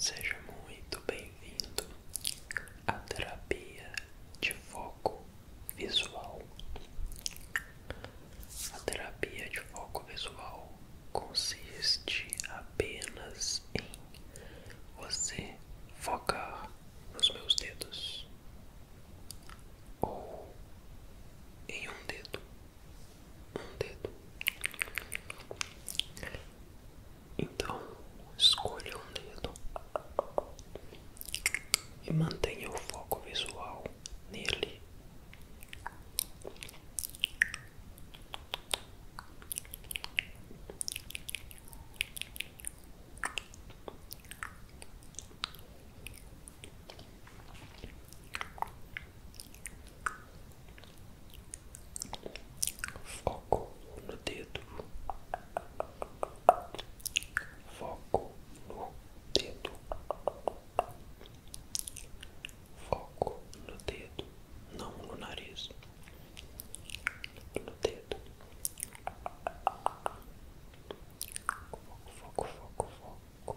Seja muito bem-vindo à terapia de foco visual. A terapia de foco visual consiste apenas em você focar nos meus dedos ou em um dedo, um dedo. Então escolha um dedo e mantenha o foco visual nele. Foco no dedo, foco no dedo, foco no dedo, não no nariz, no dedo, foco, foco, foco, foco.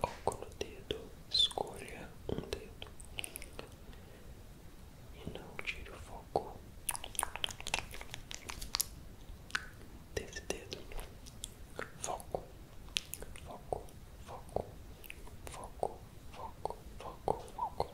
Foco no dedo, escolha um dedo e não tire o foco desse dedo. Foco, foco, foco, foco, foco, foco, foco. Foco,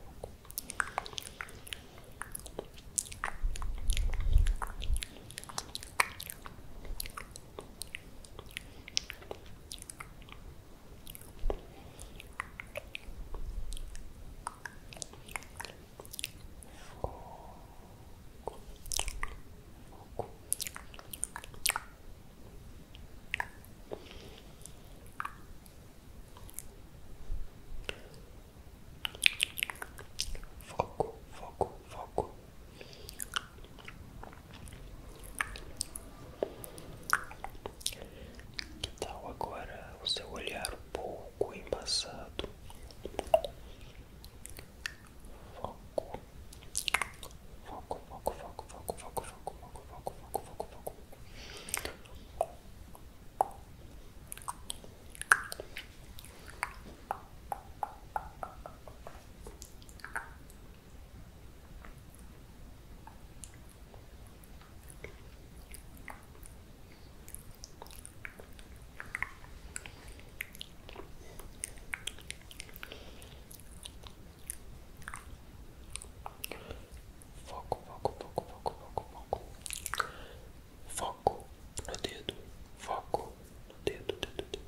Foco, foco, foco. Que tal agora o seu olhar um pouco embaçado? Foco, foco, foco, foco, foco, foco, foco, foco, foco, foco, foco, foco. Foco, foco, foco, foco, foco, foco. Foco no dedo, foco no dedo, dedo, dedo.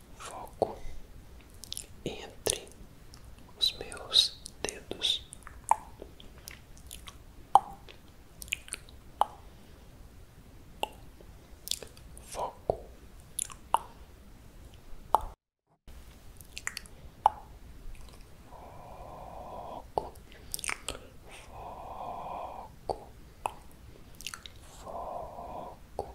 foco entre os meus dedos. Foco. Foco, foco, foco,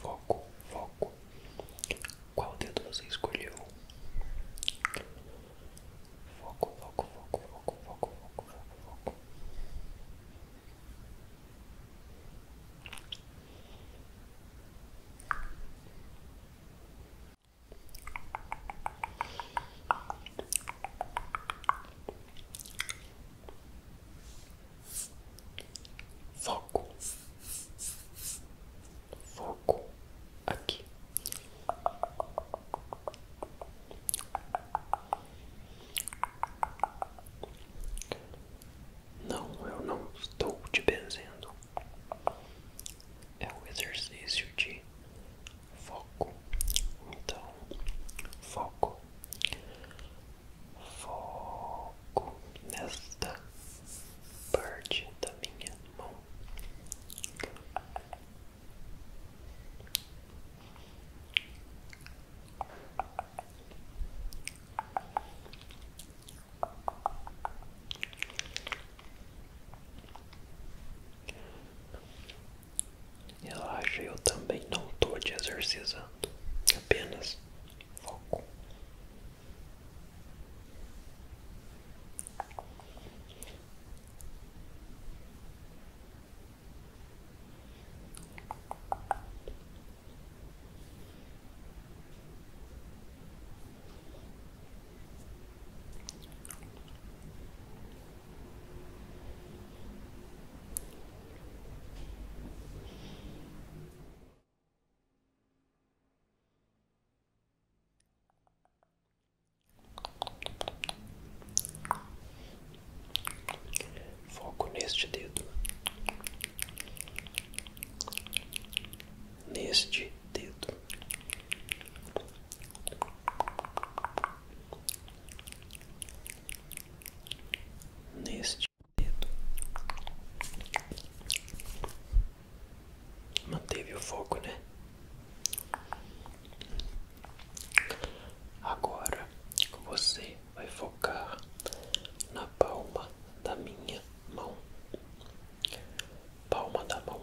Foco, foco. Qual dedo você escolheu? Foco, foco, foco, foco, foco, foco, foco, foco. Foco, foco aqui. Não, eu não estou te benzendo. É o exercício de foco, então foco, foco nesta parte da minha mão. Relaxa, eu também não estou te exorcizando, apenas foco. Foco neste dedo, neste dedo, neste dedo. Manteve o foco, né? Agora você vai focar na palma da minha mão. Palma da mão.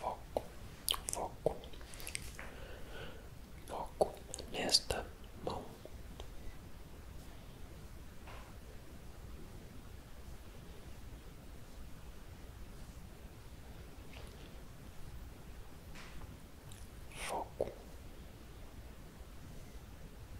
Foco, foco, foco nesta mão. Foco,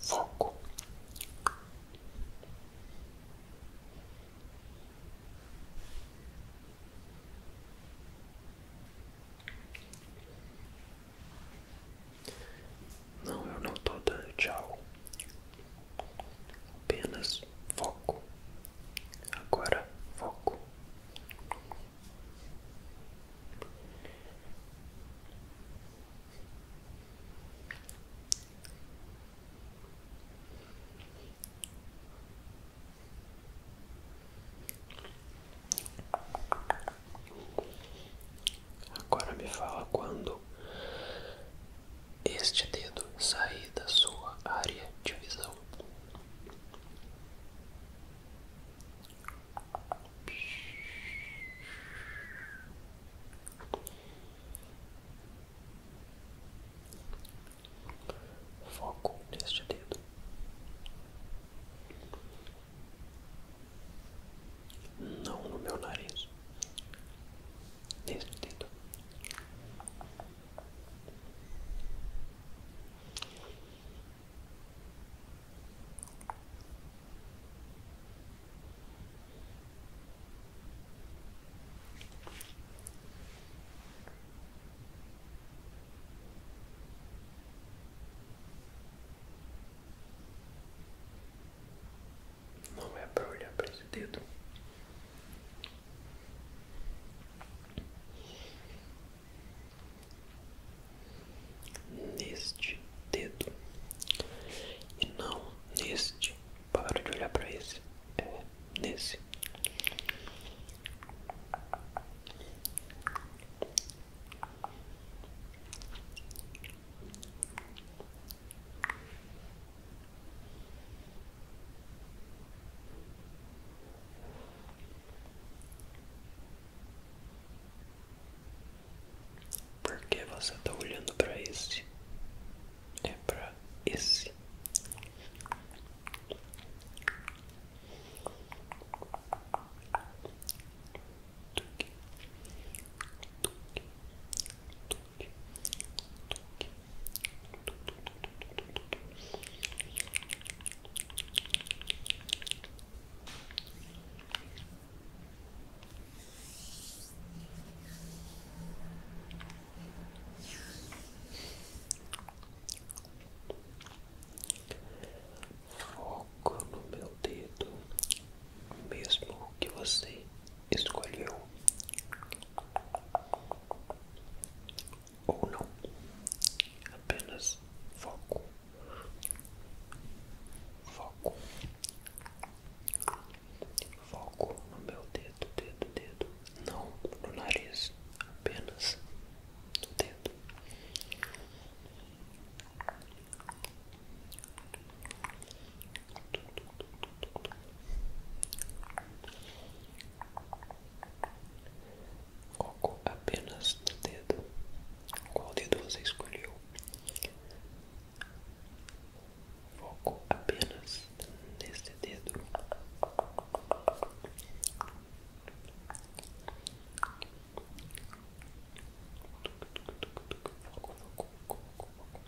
Foco. Não, eu não tô dando tchau. Apenas foco. Agora foco. Agora me fala quando este dedo sair da sua área de visão. Foco neste dedo. Não no meu nariz. Neste dedo. Não é para olhar para esse neste dedo e não neste. Para de olhar para esse, é nesse. Porque você está olhando para esse? É para esse. Foco no meu dedo, mesmo que você escolheu ou não, apenas foco, foco, foco no meu dedo, dedo, dedo, não no nariz, apenas no dedo. Foco apenas no dedo. Qual dedo você escolheu? Foco apenas nesse dedo. Foco, foco, foco, foco.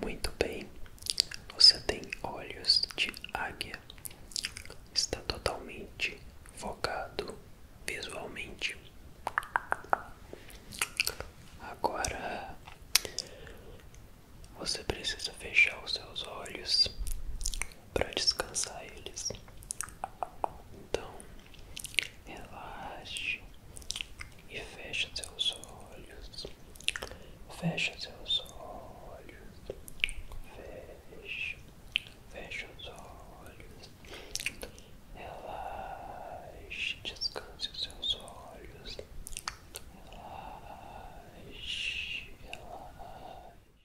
Muito bem, você tem olhos de águia, está totalmente focado visualmente. Agora você precisa fechar os seus olhos para descansar eles. Então, relaxe e fecha seus olhos. Fecha seus olhos. Fecha. Fecha os olhos. Relaxe. Descanse os seus olhos. Relaxe. Relaxe.